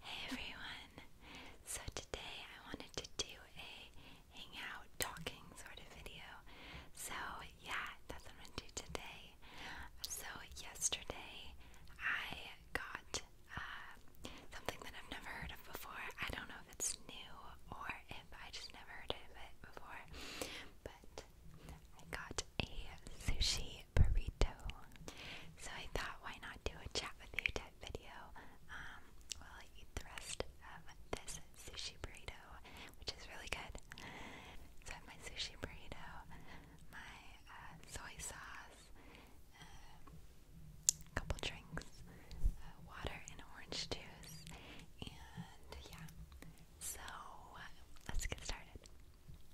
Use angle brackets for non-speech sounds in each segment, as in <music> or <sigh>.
Hey everyone! So today I wanted to do a hangout talking sort of video. So yeah, that's what I'm gonna do today. So yesterday I got uh, something that I've never heard of before. I don't know if it's new or if I just never heard it before, but I got a sushi burrito. So I thought, why not do a chat with you type video um, while I eat the rest of this sushi burrito, which is really good. So I have my sushi burrito, my uh, soy sauce, a um, uh, couple drinks, uh, water, and orange juice, and yeah. So uh, let's get started.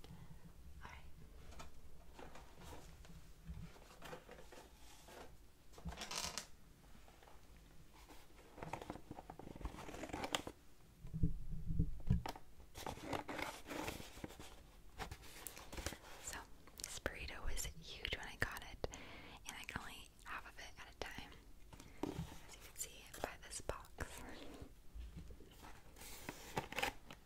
All right. So, this burrito was huge when I got it, and I can only eat half of it at a time, as you can see by this box.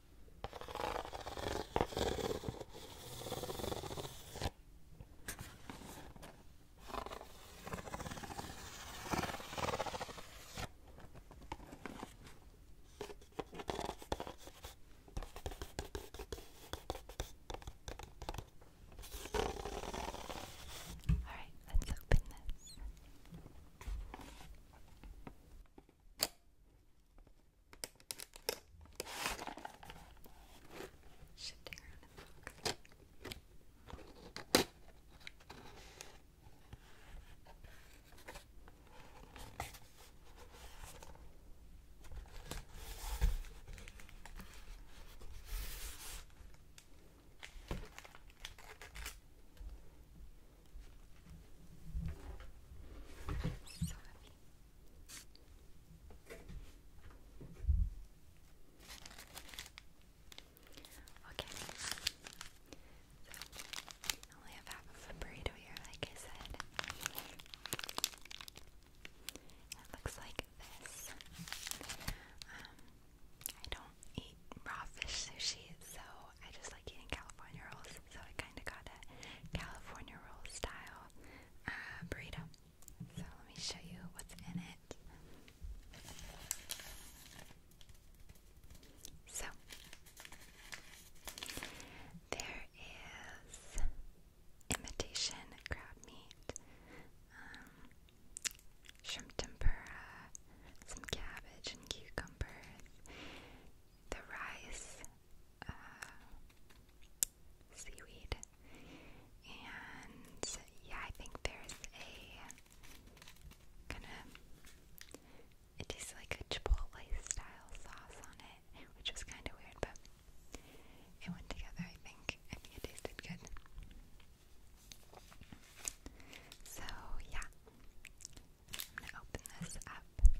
All right, let's open this. Shifting around in the book. So happy. Okay. So I only have half of a burrito here, like I said. It looks like this. Um, I don't eat raw fish sushi, so I just like eating California rolls, so I kind of got a California roll style uh, burrito. So let me show you what's in it. So there is imitation crab meat, um, shrimp tempura, some cabbage and cucumbers, the rice, uh, seaweed, and yeah, I think there's a kind of it tastes like a chipotle style sauce on it, which was kind of weird, but it went together. I think I think it tasted good. So yeah, I'm going to open this up. Okay,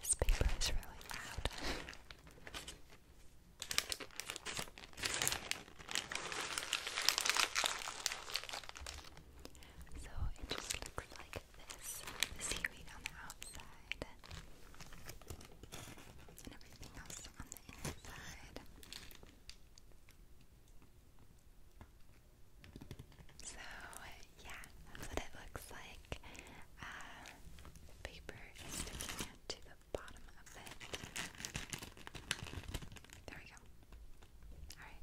This paper is really loud. so it just looks like this the seaweed on the outside, and everything else on the inside. So yeah, that's what it looks like. Uh, paper is sticking to the bottom of it. There we go. Alright.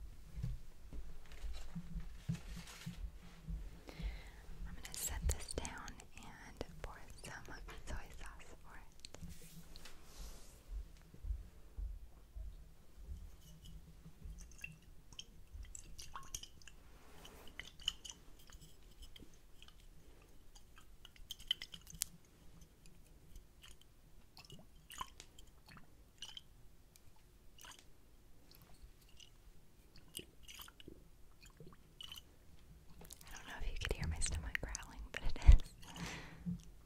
I'm going to set this down and pour some soy sauce for it. I don't know if you could hear my stomach growling, but it is. <laughs>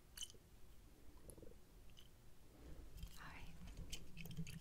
All right. All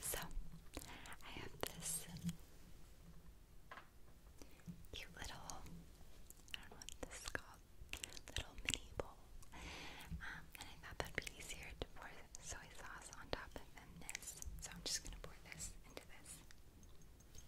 So, I have this cute little, I don't know what this is called, little mini bowl. Um, and I thought that'd be easier to pour soy sauce on top of this. So, I'm just gonna pour this into this.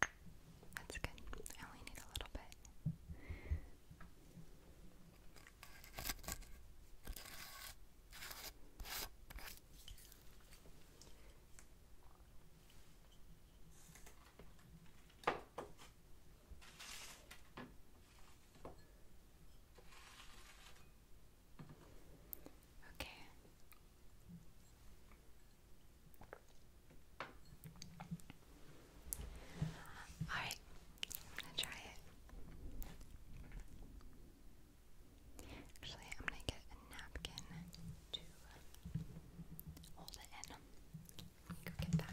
That's good. I only need a little bit. Okay, Alright, I'm gonna try it. Actually, I'm gonna get a napkin to uh, hold it in. Let me go get that.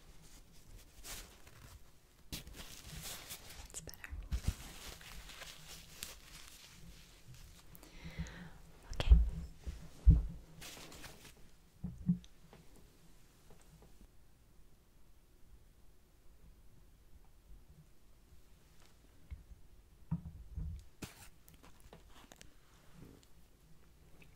That's better. Okay. It's really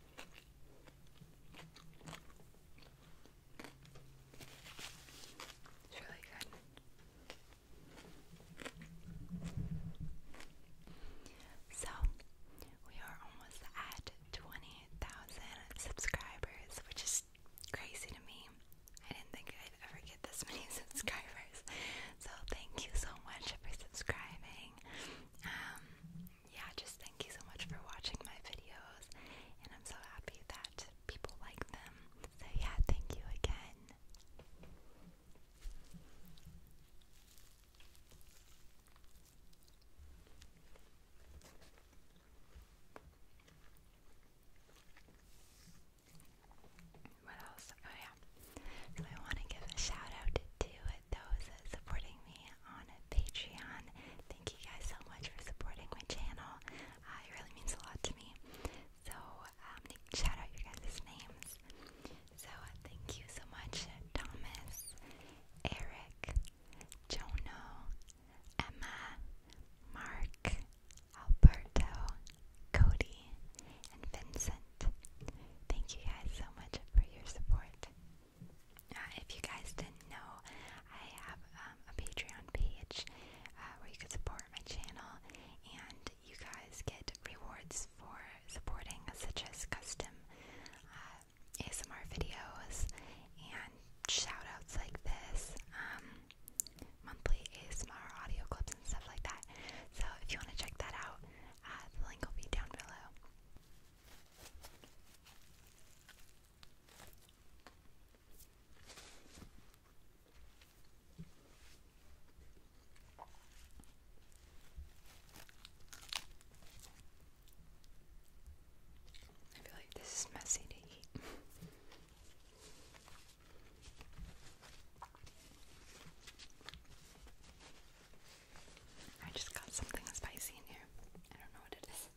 good. So, we are almost at 20,000 subscribers, which is crazy to me. I didn't think I'd ever get this <laughs> many subscribers. So, thank you so much for subscribing. Um, yeah, just thank you so much for watching my videos, and I'm so happy that people like them. So, yeah, thank you again. What else? Oh, yeah. So, I want to give a shout out to those supporting me on Patreon. Thank you guys so much for supporting my channel. Uh, it really means a lot to me. So um, shout out your guys' names. So thank you so much, Thomas, Eric, Jono, Emma, Mark, Alberto, Cody, and Vincent. Thank you guys so much for your support. Uh, if you guys didn't know, I have um, a Patreon page uh, where you can support my channel, and you guys get rewards for supporting, such as custom uh, ASMR videos and shoutouts like this, um, monthly ASMR audio clips and stuff like that. So if you want to check that out, uh, the link will be down below. I feel like this is messy to eat. I just got something spicy in here. I don't know what it is.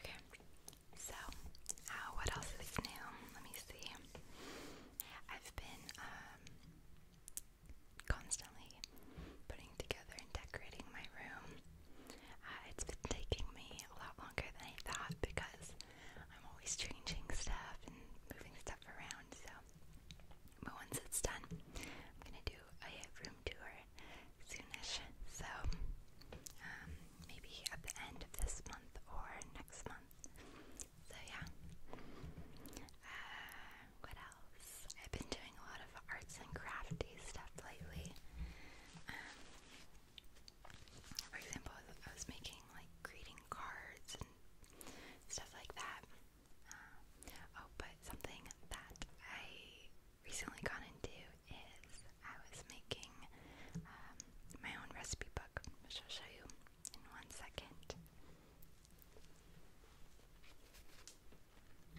Okay, so uh, what else is new? Let me see. I've been um, constantly putting together and decorating my room. Uh, it's been taking me a lot longer than I thought because I'm always changing stuff and moving stuff around. So, but once it's done, I'm gonna do a room tour soonish. So, um, maybe at the end of this month or next month. So yeah. Uh, what else? I've been doing a lot of arts and crafty stuff lately. Um, for example, I was making like greeting cards and stuff like that. Uh, oh, but something that I recently got into is I was making um, my own recipe book, which I'll show you in one second. I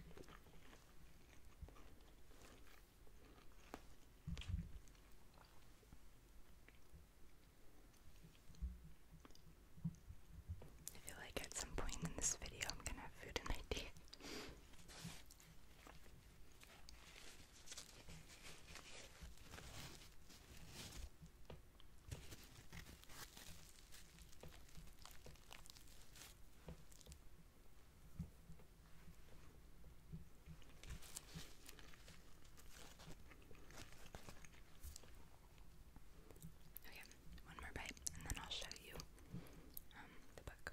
feel like at some point in this video I'm gonna have food in my teeth. Okay, one more bite, and then I'll show you um, the book.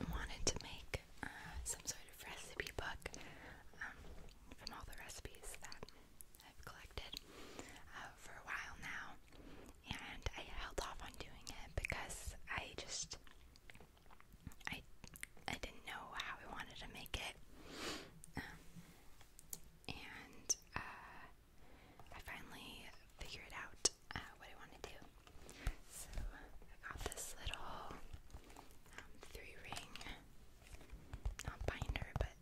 I wanted to make uh, some sort of recipe book um, from all the recipes that I've collected uh, for a while now, and I held off on doing it because I just I I didn't know how I wanted to make it, um, and uh, I finally figured out uh, what I want to do. So I got this little um, three ring, not binder, but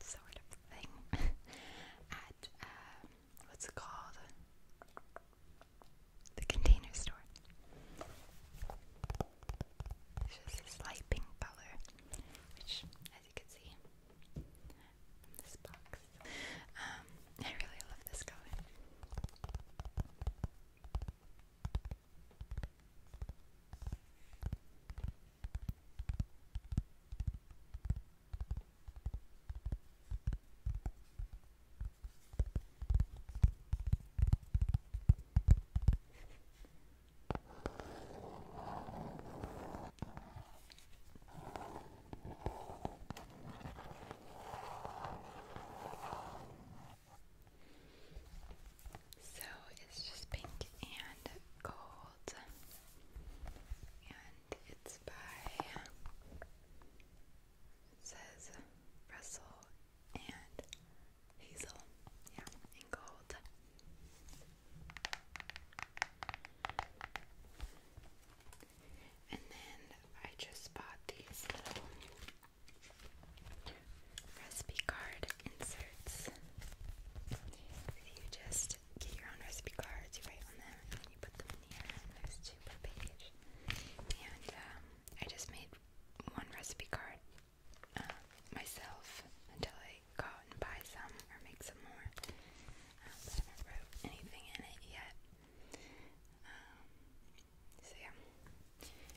sort of thing <laughs> at um, what's it called? The container store. It's just this light pink color, which, as you can see, this box. Um, I really love this color. So it's just pink and gold, and it's by says Russell and Hazel, yeah, in gold. And then I just bought these little recipe card inserts. You just get your own recipe cards, you write on them, and then you put them in here, and there's two per page. And um, I just made one recipe card uh, myself until I go out and buy some or make some more. Um, I haven't wrote anything in it yet. Um, so yeah,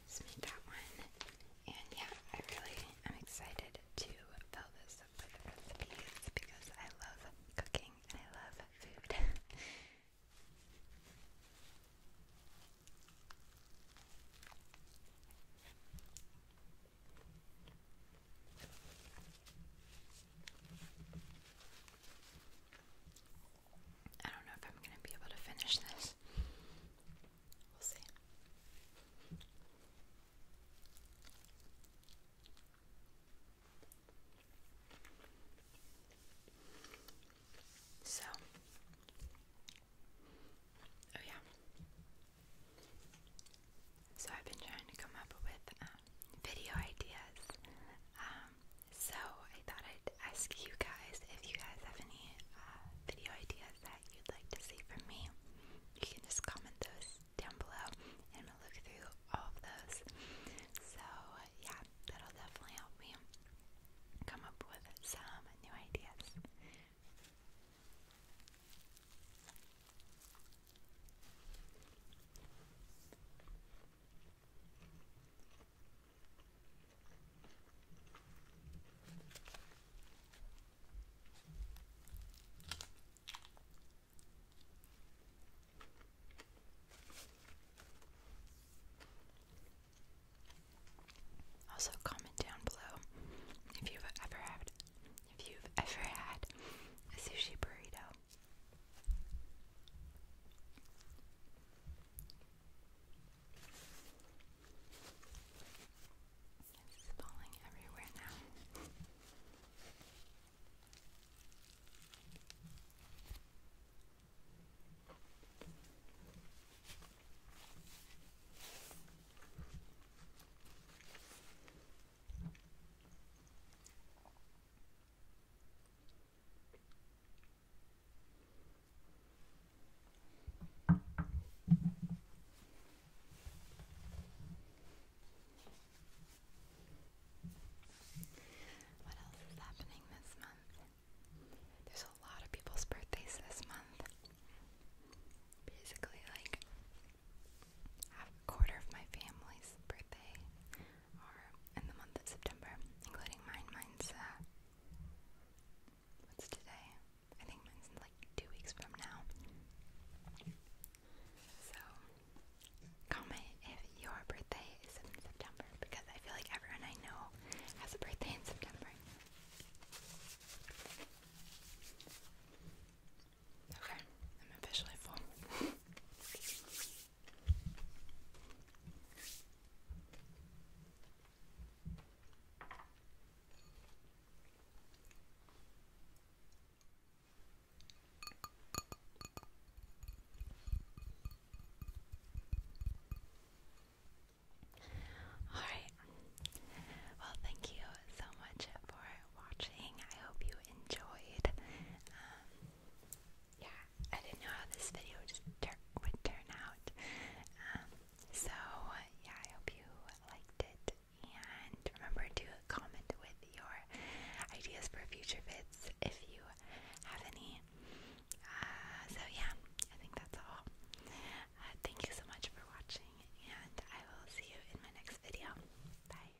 just made that one. And yeah, I really am excited to fill this up with recipes because I love cooking and I love food. I don't know if I'm going to be able to finish this. We'll see. So, oh yeah, so I've been trying to come up with um, video ideas. Um, so I thought I'd ask you guys if you guys have any uh, video ideas that you'd like to see from me. You can just comment those down below, and i will look through all of those. So yeah, that'll definitely help me come up with some new ideas. Also, comment down below if you've ever had if you've ever had a sushi burrito. It's falling everywhere now. What else is happening this month? There's a lot of people's birthdays this month basically like a quarter of my family's birthday are in the month of September, including mine. Mine's uh, what's today? I think mine's like two weeks from now. So comment if your birthday is in September because I feel like everyone I know has a birthday in September. Okay, I'm officially full. Alright, well, thank you so much for watching. I hope you enjoyed. Um, yeah, I didn't know how this video just would turn out. Um, so, yeah, I hope you liked it. And remember to comment with your ideas for future vids if you have any. Uh, so, yeah, I think that's all. Uh, thank you so much for watching, and I will see you in my next video. Bye.